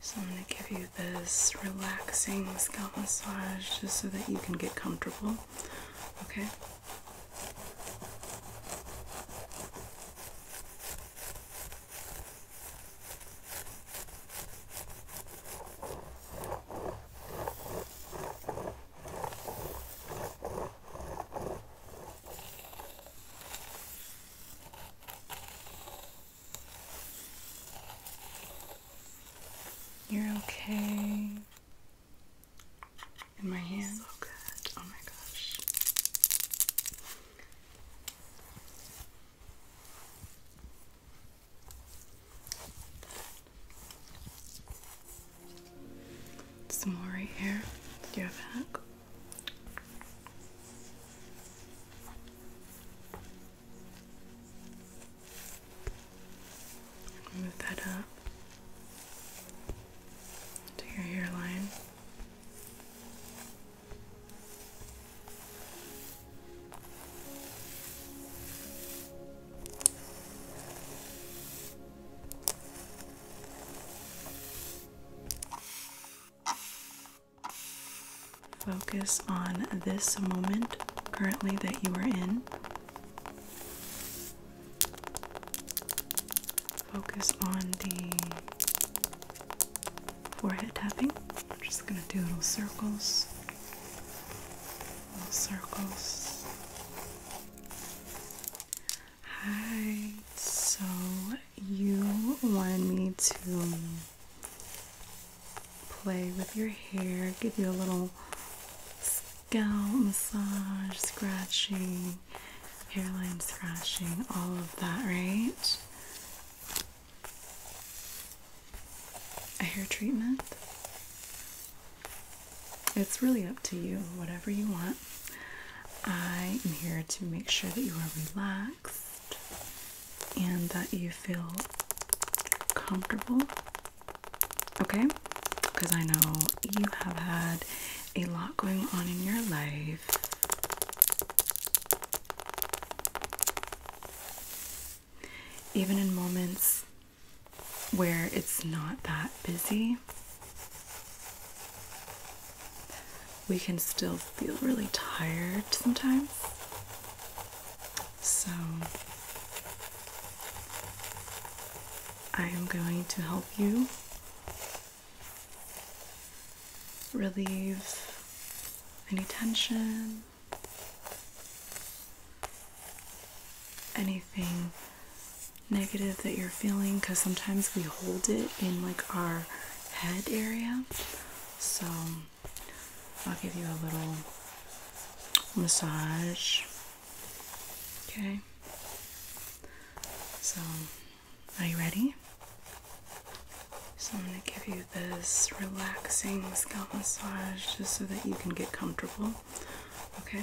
So I'm going to give you this relaxing scalp massage just so that you can get comfortable. Okay? You're okay. In my hand. So good. Oh my gosh. Some more right here. Your back. Move that up to your hairline. Focus on this moment currently that you are in. Focus on the forehead tapping. I'm just going to do little circles, little circles. Hi. So you want me to play with your hair, give you a little scalp massage, scratching, hairline scratching, all of that, right? A hair treatment. It's really up to you, whatever you want. I am here to make sure that you are relaxed and that you feel comfortable. Okay? Because I know you have had a lot going on in your life. Even in moments where it's not that busy, we can still feel really tired sometimes. So, I am going to help you relieve any tension, anything negative that you're feeling because sometimes we hold it in like our head area. So I'll give you a little massage. Okay. So, are you ready? So, I'm going to give you this relaxing scalp massage just so that you can get comfortable. Okay?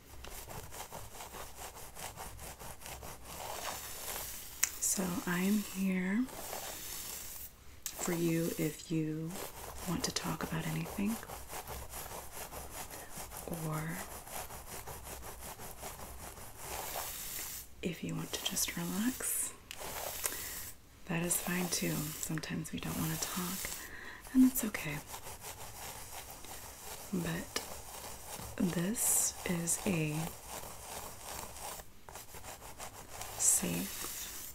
So I am here for you if you want to talk about anything or if you want to just relax. That is fine too. Sometimes we don't want to talk, and that's okay but this is a safe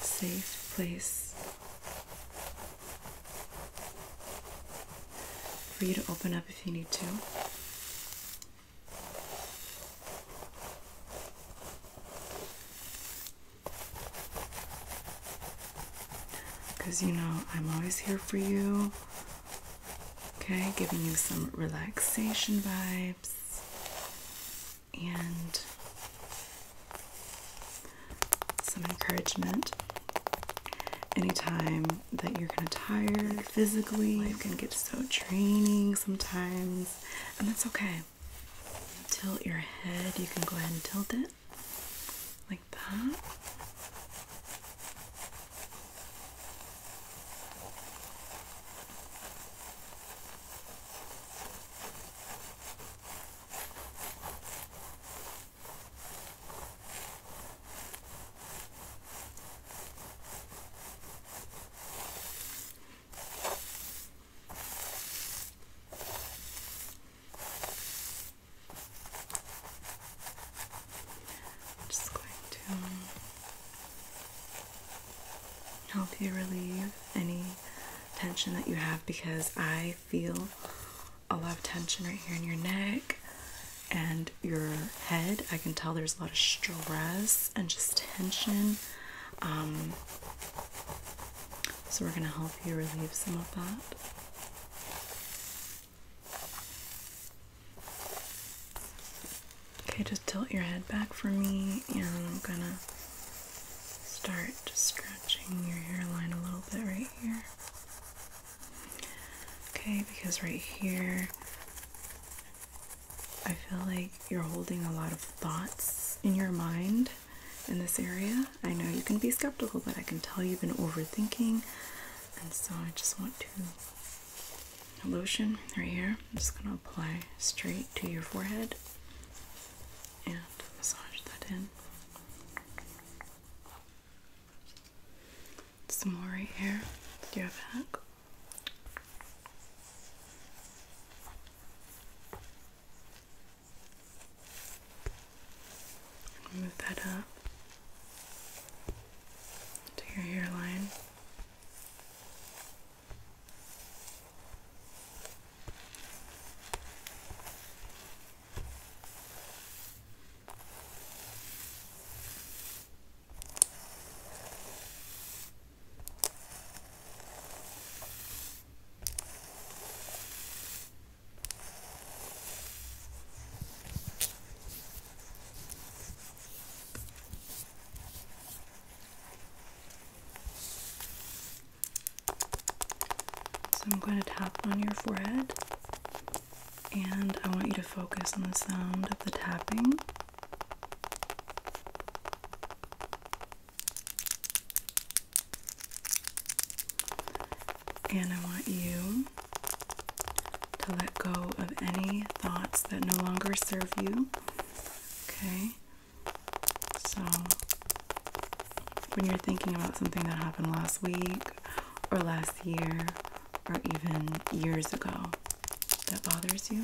safe place for you to open up if you need to. Because you know, I'm always here for you. Okay, giving you some relaxation vibes and some encouragement. Anytime that you're kind of tired physically, you can get so draining sometimes, and that's okay tilt your head. You can go ahead and tilt it like that. I'm just going to help you relieve any tension that you have because I feel a lot of tension right here in your neck and your head. I can tell there's a lot of stress and just tension. Um, so we're going to help you relieve some of that. Okay, just tilt your head back for me, and I'm gonna start just scratching your hairline a little bit right here. Okay, because right here, I feel like you're holding a lot of thoughts in your mind in this area. I know you can be skeptical, but I can tell you've been overthinking. And so I just want to lotion right here. just going to apply straight to your forehead and massage that in. Some more right here. Do you have a hack? And move that up to your hairline. So I'm going to tap on your forehead and I want you to focus on the sound of the tapping. And I want you to let go of any thoughts that no longer serve you. Okay? So, when you're thinking about something that happened last week or last year or even years ago that bothers you,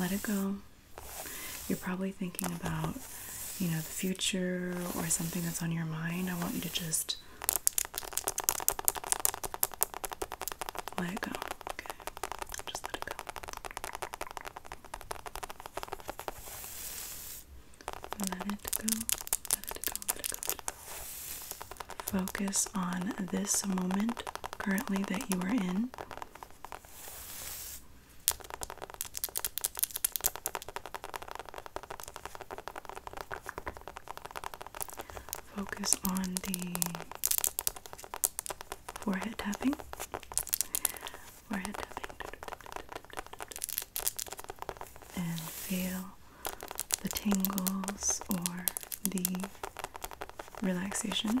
let it go. You're probably thinking about you know, the future or something that's on your mind, I want you to just let go. Just Let it go. Let it go. Let it go. Focus on this moment currently that you are in. Focus on the forehead tapping. Forehead tapping. And feel the tingles or the relaxation.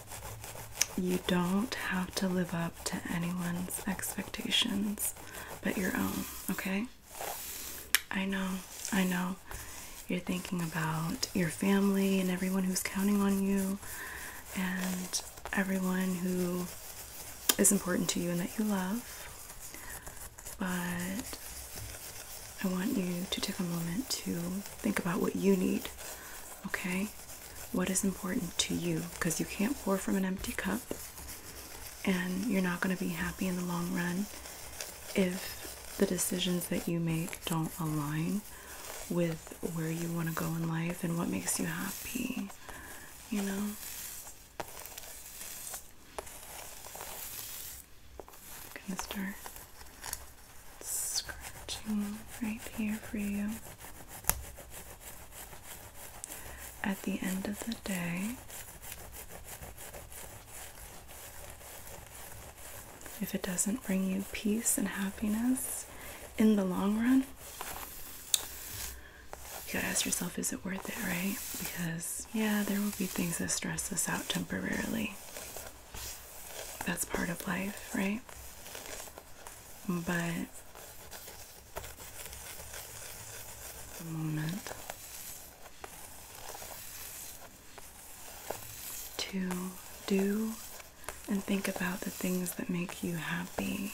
You don't have to live up to anyone's expectations but your own, okay? I know, I know. You're thinking about your family and everyone who's counting on you and everyone who is important to you and that you love. But I want you to take a moment to think about what you need Okay? What is important to you? Because you can't pour from an empty cup, and you're not going to be happy in the long run if the decisions that you make don't align with where you want to go in life and what makes you happy. You know? gonna start scratching right here for you. At the end of the day, if it doesn't bring you peace and happiness in the long run, you gotta ask yourself, is it worth it, right? Because, yeah, there will be things that stress us out temporarily. That's part of life, right? but the moment to do and think about the things that make you happy.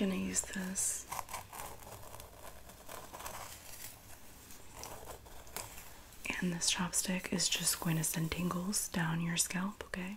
I'm gonna use this and this chopstick is just going to send tingles down your scalp, okay?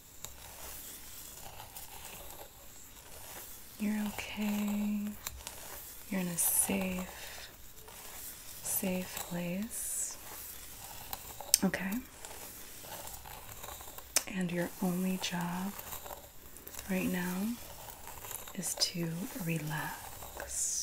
You're okay. You're in a safe, safe place. Okay. And your only job right now is to relax.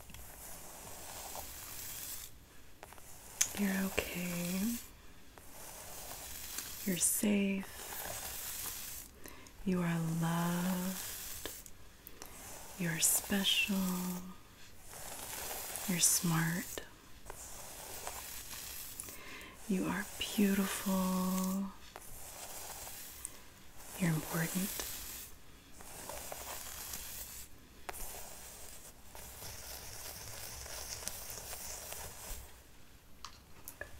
You're okay. You're safe. You are loved. You're special. You're smart. You are beautiful. You're important.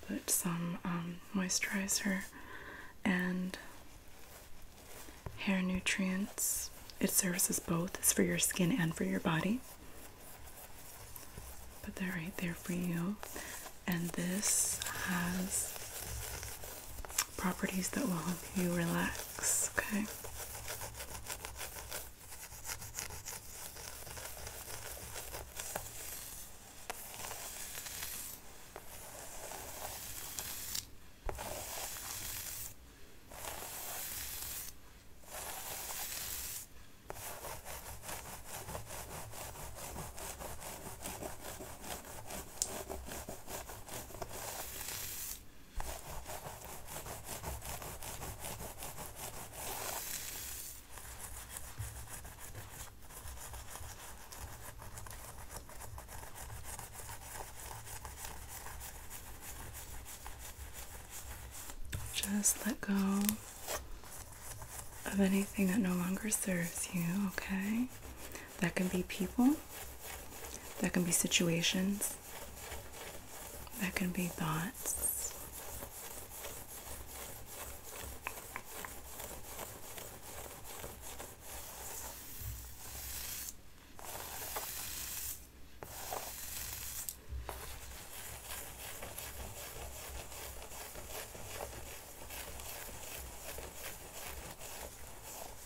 Put some um, moisturizer and hair nutrients. It services both. It's for your skin and for your body. Put that right there for you. And this has properties that will help you relax, okay? Just let go of anything that no longer serves you, okay? That can be people, that can be situations, that can be thoughts.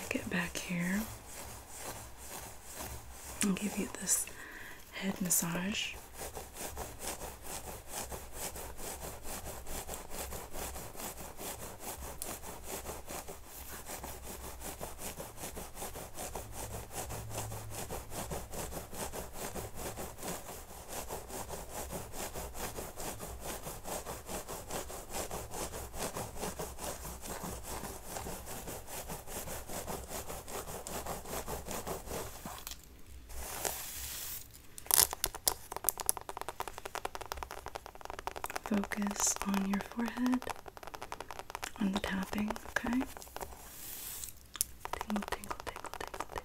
I get back here and give you this head massage. Focus on your forehead on the tapping, okay? Tingle, tingle, tingle, tingle,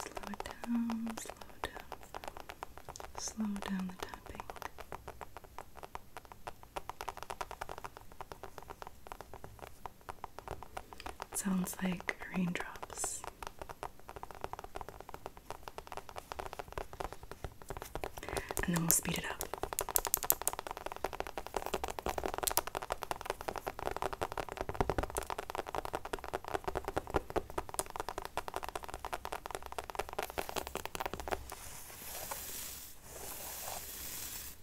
Slow it down, slow down, slow down the tapping sounds like raindrops. And then we'll speed it up.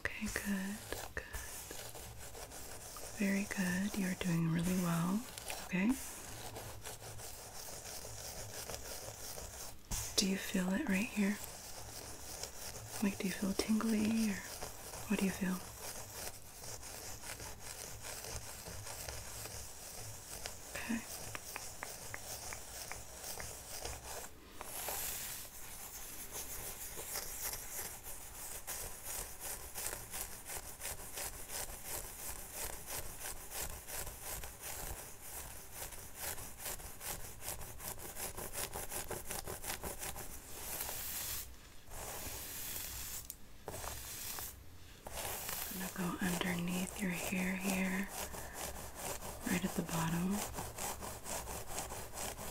Okay, good, good. Very good. You're doing really well. Okay. Do you feel it right here? Like, do you feel tingly or what do you feel? Okay. I'm gonna go underneath your hair here, right at the bottom.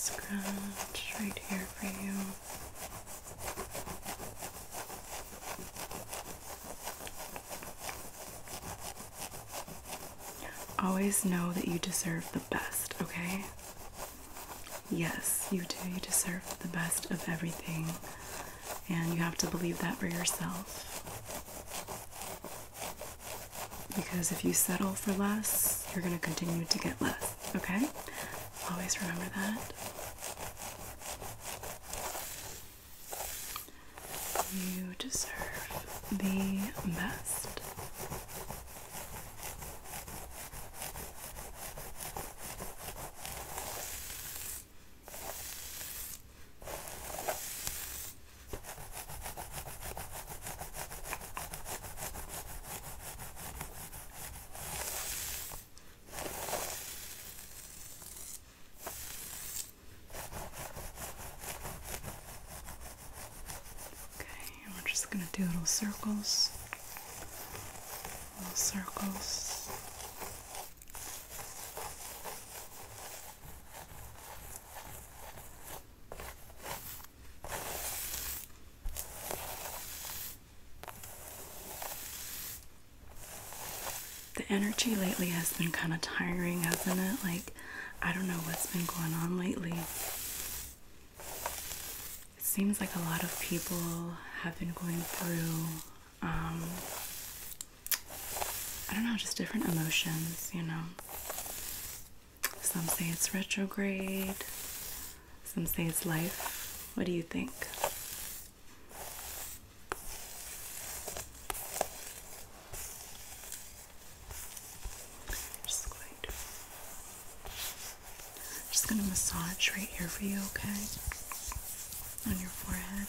Scratch right here for you. Always know that you deserve the best, okay? Yes, you do. You deserve the best of everything, and you have to believe that for yourself. Because if you settle for less, you're going to continue to get less, okay? Always remember that. You deserve the best. Okay, and we're just going to do little circles, little circles. The energy lately has been kind of tiring, hasn't it? Like, I don't know what's been going on lately. It seems like a lot of people have been going through, um, I don't know, just different emotions, you know. Some say it's retrograde, some say it's life. What do you think? Just going to, massage right here for you, okay? On your forehead.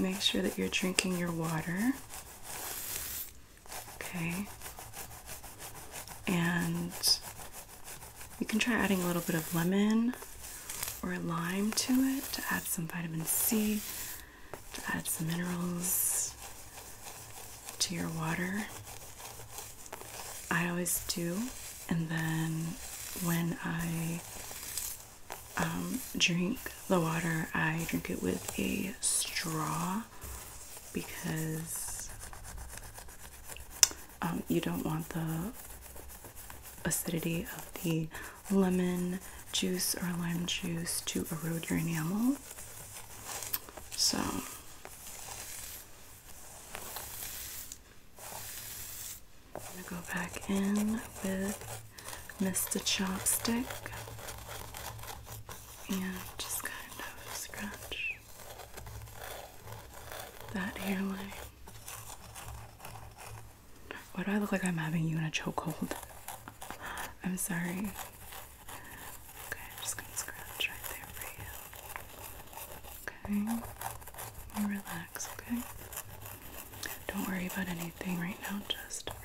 Make sure that you're drinking your water. Okay. And you can try adding a little bit of lemon or lime to it to add some vitamin C to add some minerals to your water. I always do, and then when I um, drink the water, I drink it with a straw because um, you don't want the acidity of the lemon juice or lime juice to erode your enamel. So I'm gonna go back in with Mr. Chopstick and just kind of scratch that hairline. Why do I look like I'm having you in a chokehold? I'm sorry. Okay, I'm just gonna scratch right there for you. Okay, relax, okay? Don't worry about anything right now, just relax.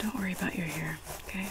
Don't worry about your hair, okay?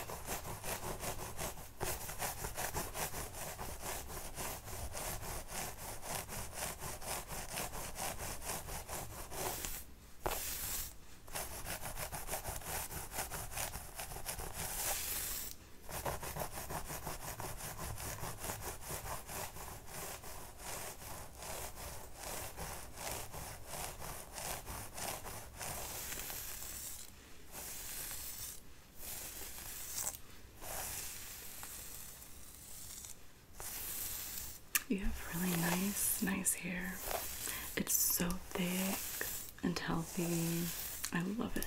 You have really nice, nice hair. It's so thick and healthy. I love it.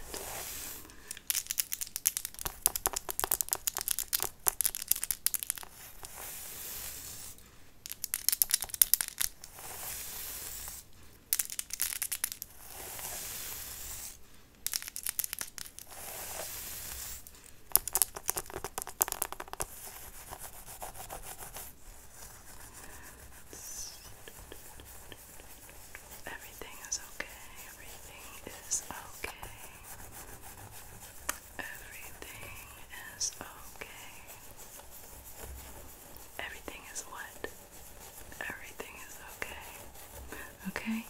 Everything is okay. Everything is okay. Everything is okay. Everything is what? Everything is okay. Okay?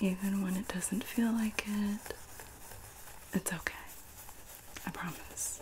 Even when it doesn't feel like it, it's okay. I promise.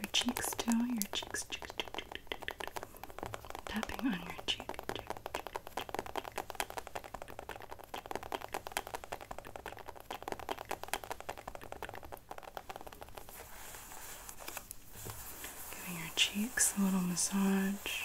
Your cheeks too, your cheeks, cheeks, tapping on your cheek, cheek. Giving your cheeks a little massage.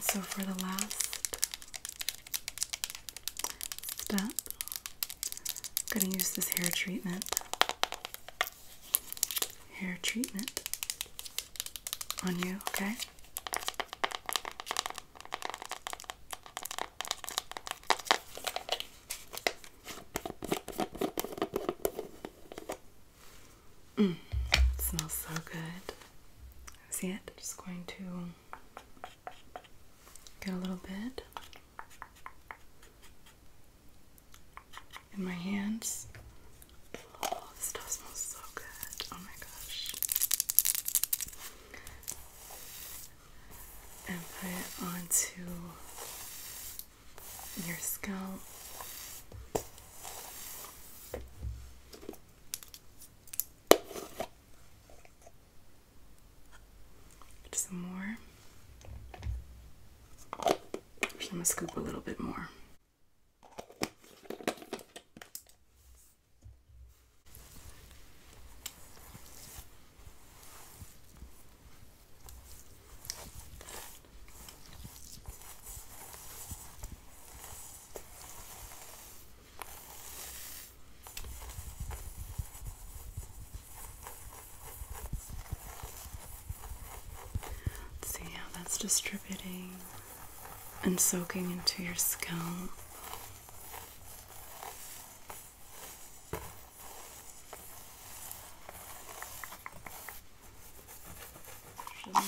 so for the last step, I'm going to use this hair treatment. Hair treatment on you, okay? Mm, smells so good. See it? Just going to get a little bit in my hands. Oh, this stuff smells so good. Oh my gosh and put it onto your scalp. Some more. I'm gonna scoop a little bit more see how that's distributing and soaking into your scalp. Add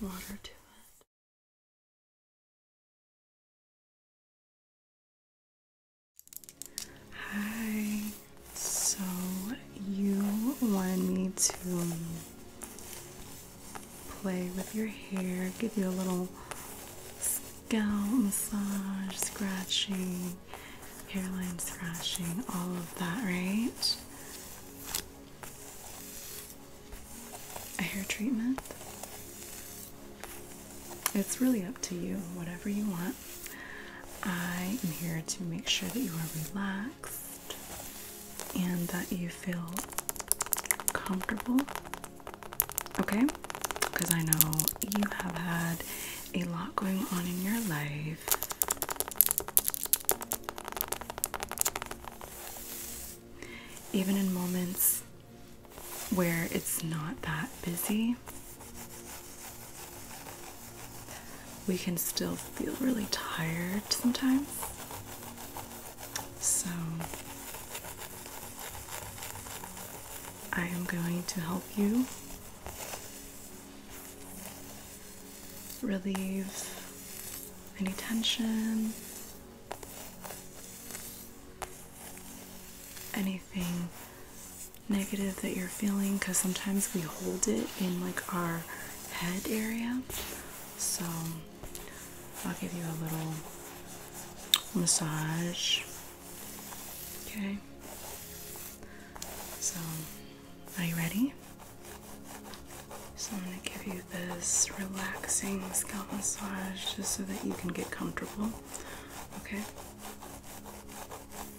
water to it. Hi. So you want me to play with your hair, give you a little scalp massage, scratching, hairline scratching, all of that, right? A hair treatment? It's really up to you, whatever you want. I am here to make sure that you are relaxed and that you feel comfortable. Okay? Because I know you have had a lot going on in your life. Even in moments where it's not that busy, we can still feel really tired sometimes. So, I am going to help you relieve any tension, anything negative that you're feeling because sometimes we hold it in like our head area. So I'll give you a little massage. Okay. So are you ready? So I'm going to give you this relaxing scalp massage just so that you can get comfortable. Okay.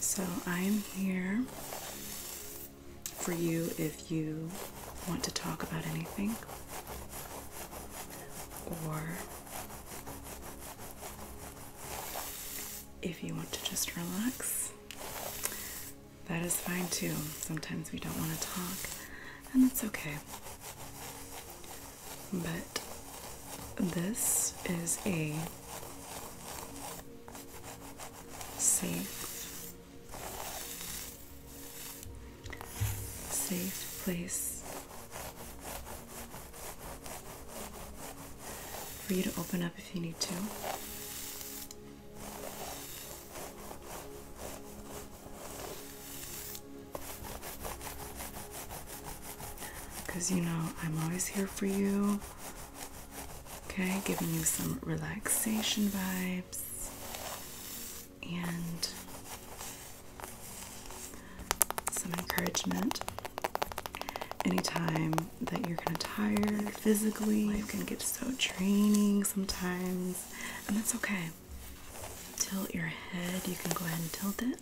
So I am here for you if you want to talk about anything or if you want to just relax. That is fine too. Sometimes we don't want to talk, and that's okay but this is a safe safe place for you to open up if you need to because you know, I'm always here for you. Okay, giving you some relaxation vibes and some encouragement. Anytime that you're kind of tired physically, you can get so draining sometimes, and that's okay. Tilt your head, you can go ahead and tilt it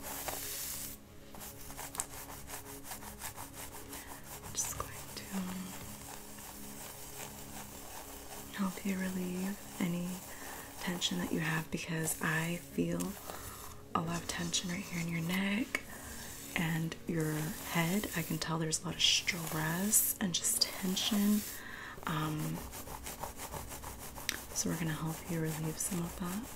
I'm just going to help you relieve any tension that you have because I feel a lot of tension right here in your neck and your head. I can tell there's a lot of stress and just tension. Um, so we're going to help you relieve some of that.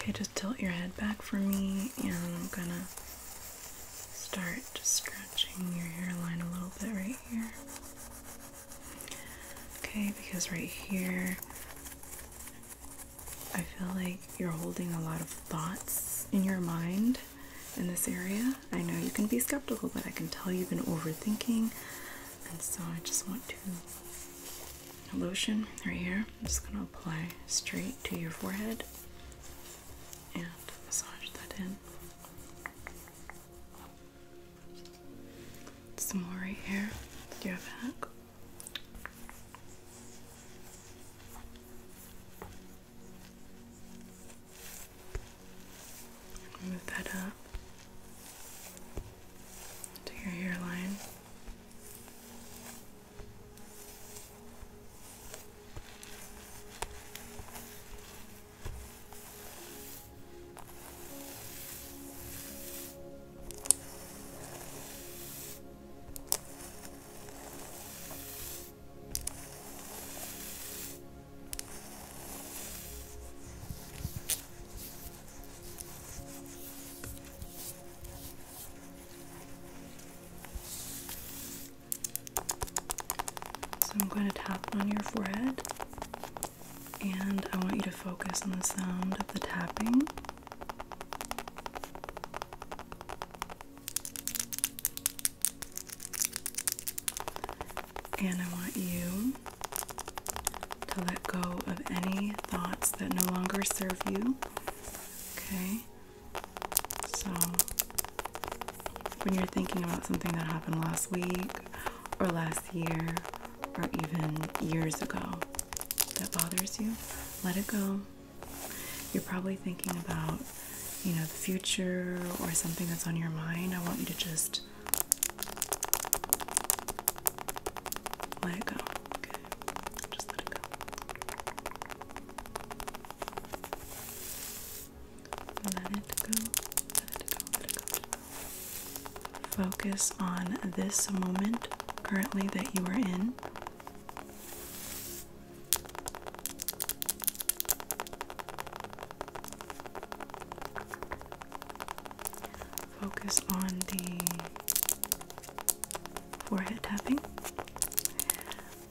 Okay, just tilt your head back for me, and I'm gonna start just scratching your hairline a little bit right here. Okay, because right here, I feel like you're holding a lot of thoughts in your mind in this area. I know you can be skeptical, but I can tell you've been overthinking, and so I just want to. Lotion right here. just going to apply straight to your forehead and massage that in. Some more right here. Do you have back? Move that up to your hairline. So I'm going to tap on your forehead, and I want you to focus on the sound of the tapping. And I want you to let go of any thoughts that no longer serve you. Okay? So, when you're thinking about something that happened last week or last year or even years ago that bothers you, let it go. You're probably thinking about you know, the future or something that's on your mind, I want you to just let it go. Okay. Just let it go. Let it go. Let it go. Let it go. Focus on this moment currently that you are in. Focus on the forehead tapping.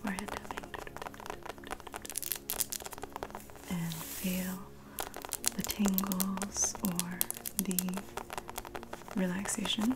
Forehead tapping. And feel the tingles or the relaxation.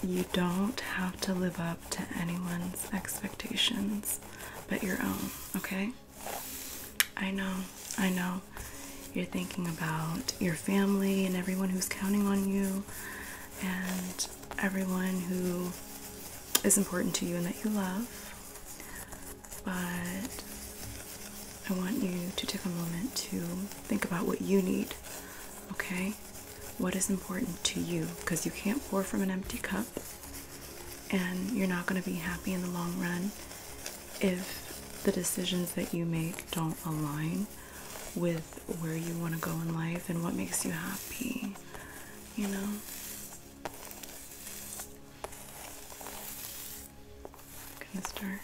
You don't have to live up to anyone's expectations but your own, okay? I know, I know. You're thinking about your family and everyone who's counting on you and everyone who is important to you and that you love. But I want you to take a moment to think about what you need, okay? what is important to you because you can't pour from an empty cup and you're not going to be happy in the long run if the decisions that you make don't align with where you want to go in life and what makes you happy, you know. gonna start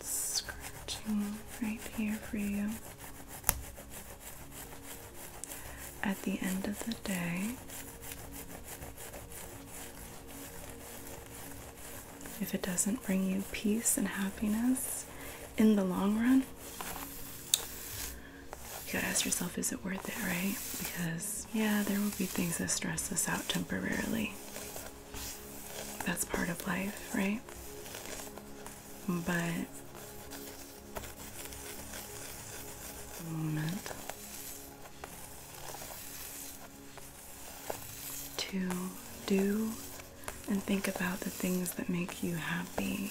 scratching right here for you. At the end of the day, if it doesn't bring you peace and happiness in the long run, you gotta ask yourself, is it worth it, right? Because, yeah, there will be things that stress us out temporarily. That's part of life, right? But to do and think about the things that make you happy.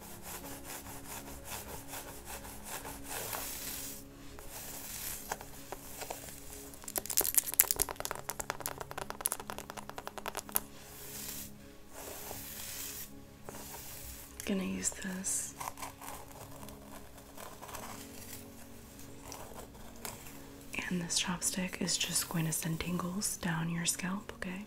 I'm gonna use this and this chopstick is just going to send tingles down your scalp okay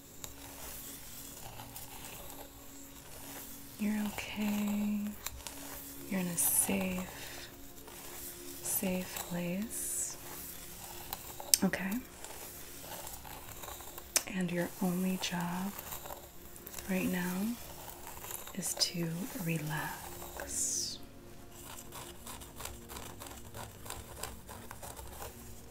You're okay. You're in a safe, safe place. Okay. And your only job right now is to relax.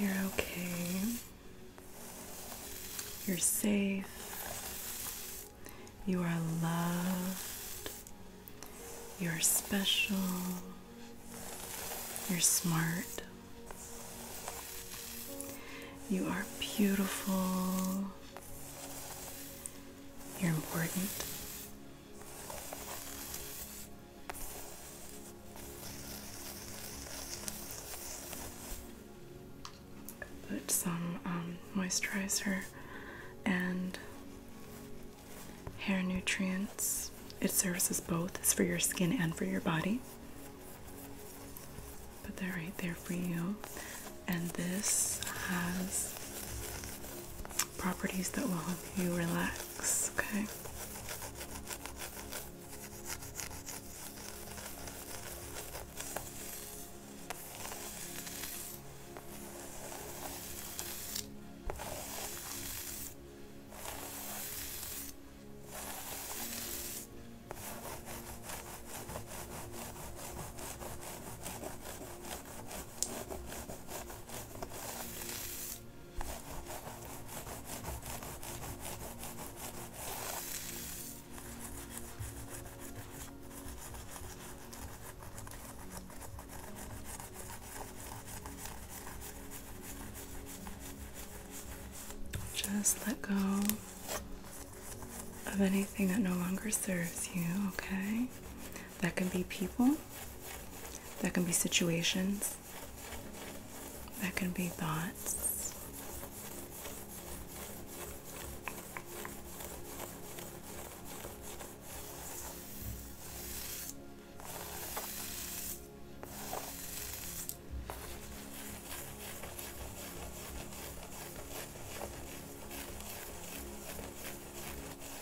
You're okay. You're safe. You are loved. You're special. You're smart. You are beautiful. You're important. Put some um, moisturizer and hair nutrients. It services both. It's for your skin and for your body. Put that right there for you. And this has properties that will help you relax, okay? Just let go of anything that no longer serves you, okay? That can be people, that can be situations, that can be thoughts.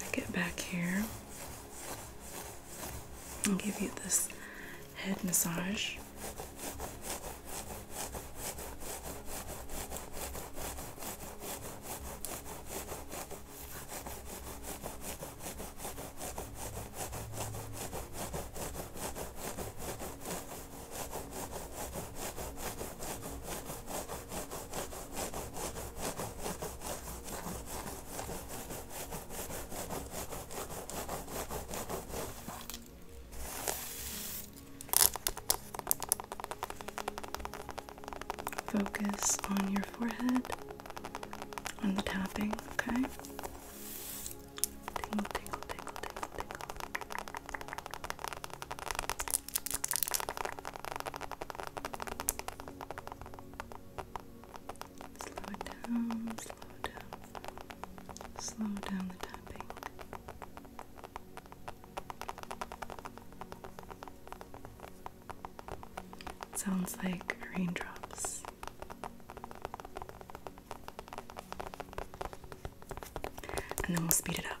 I get back here and give you this head massage. Focus on your forehead on the tapping, okay? Slow down, slow down, slow down the tapping sounds like raindrops. And then we'll speed it up.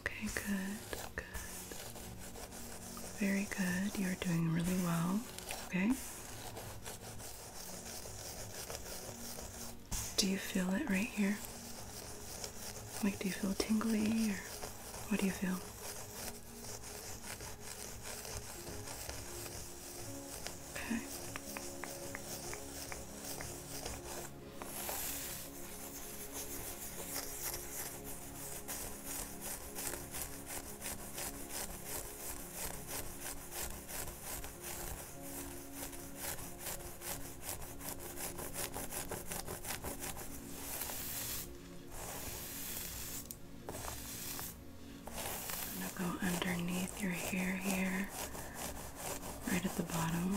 Okay, good, good. Very good. You're doing really well. Okay. Do you feel it right here? Like, do you feel tingly or what do you feel? Okay. I'm going to go underneath your hair here, right at the bottom.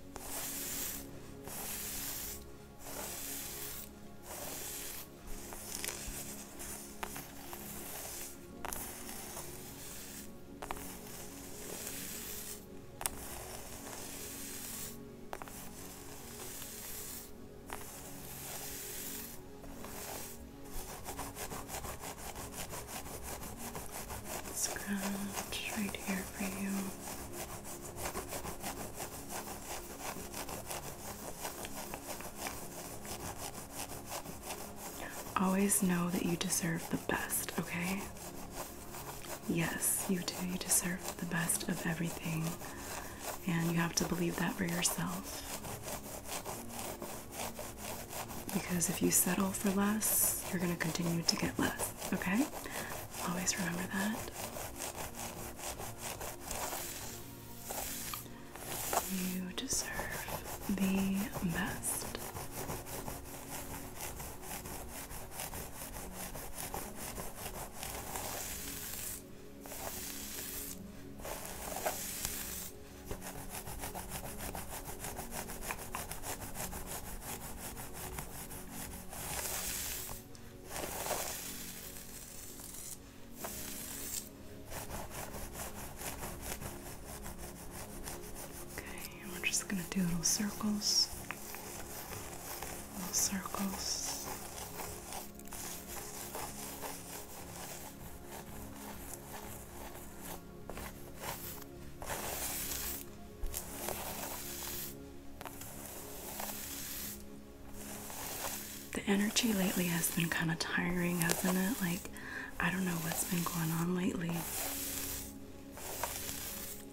Scratch right here for you. Always know that you deserve the best, okay? Yes, you do. You deserve the best of everything, and you have to believe that for yourself. Because if you settle for less, you're going to continue to get less, okay? Always remember that. You deserve the best. Okay, we're just going to do little circles, little circles. The energy lately has been kind of tiring, hasn't it? Like, I don't know what's been going on lately.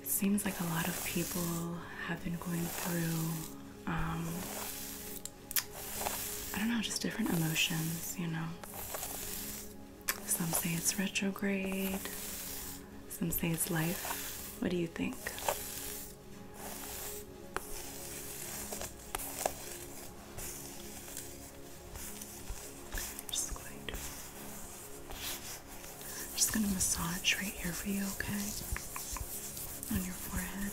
It seems like a lot of people have been going through, um, I don't know, just different emotions, you know. Some say it's retrograde, some life. What do you think? Just going to, just going to massage right here for you, okay? On your forehead.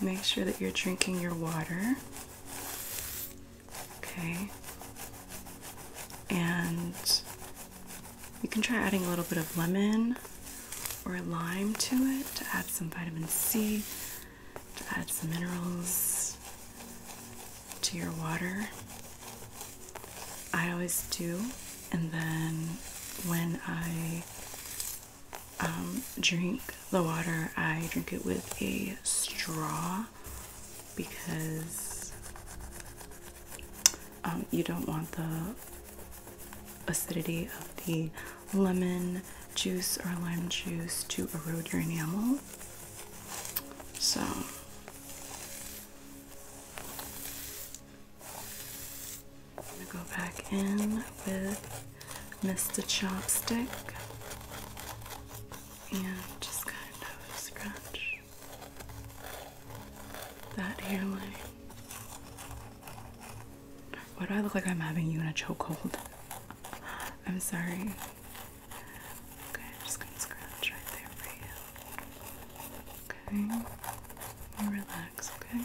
Make sure that you're drinking your water. Okay. And you can try adding a little bit of lemon or lime to it to add some vitamin C to add some minerals to your water. I always do, and then when I um, drink the water, I drink it with a straw because um, you don't want the acidity of the lemon juice or lime juice to erode your enamel. So I'm going to go back in with Mr. Chopstick and just kind of scratch that hairline. Why do I look like I'm having you in a chokehold? I'm sorry. Okay, I'm just gonna scratch right there for you. Okay, relax, okay?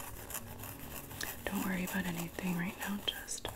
Don't worry about anything right now, just relax.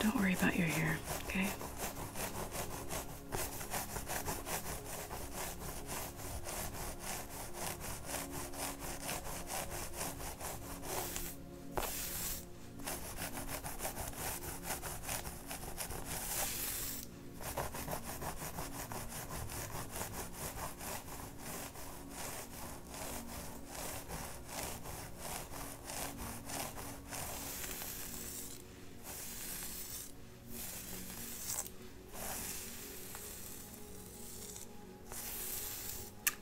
Don't worry about your hair, okay?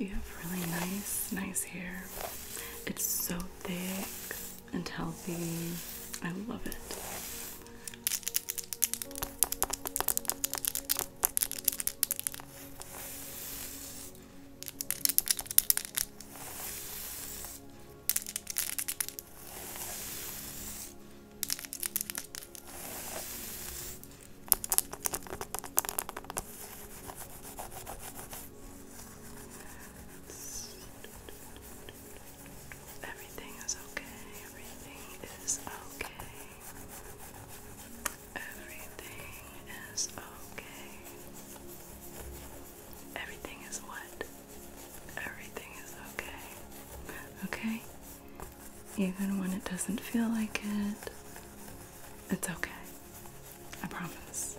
You have really nice, nice hair. It's so thick and healthy. I love it. Everything is okay. Everything is okay. Everything is okay. Everything is what? Everything is okay. Okay? Even when it doesn't feel like it, it's okay. I promise.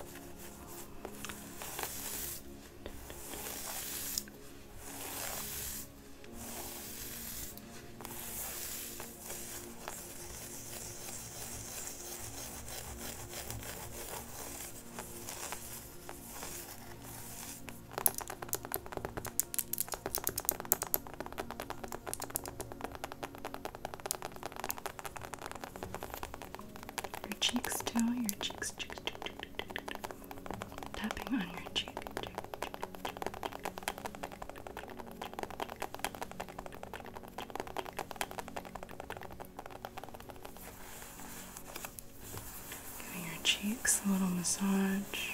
Your cheeks too, your cheeks, cheeks, cheeks, cheeks, cheeks, cheeks, cheeks. tapping on your cheek. cheek, cheek, cheek, cheek. Giving your cheeks a little massage.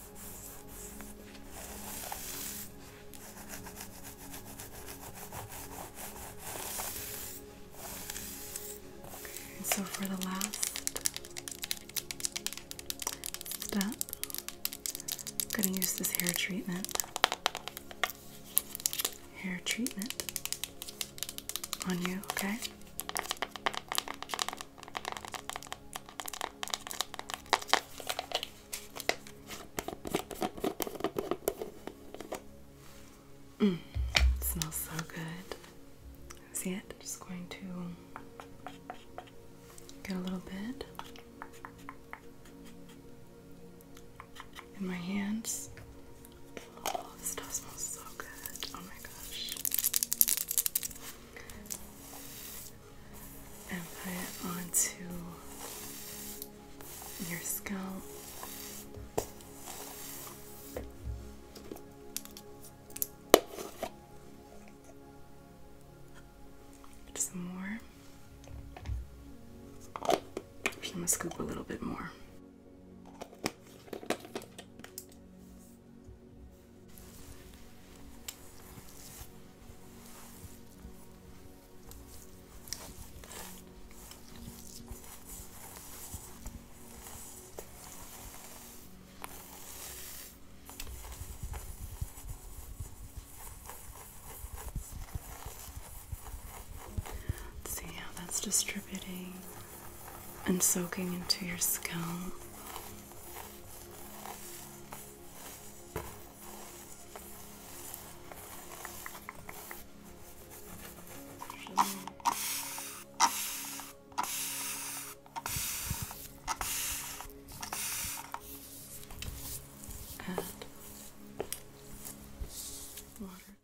so for the last step, I'm going to use this hair treatment. Hair treatment on you, okay? Mm, smells so good. See it? Just going to get a little bit in my hands. Oh, this stuff smells so good. Oh my gosh and put it onto your scalp. Some more. scoop a little bit more. See how that's distributing and soaking into your skin. Add water.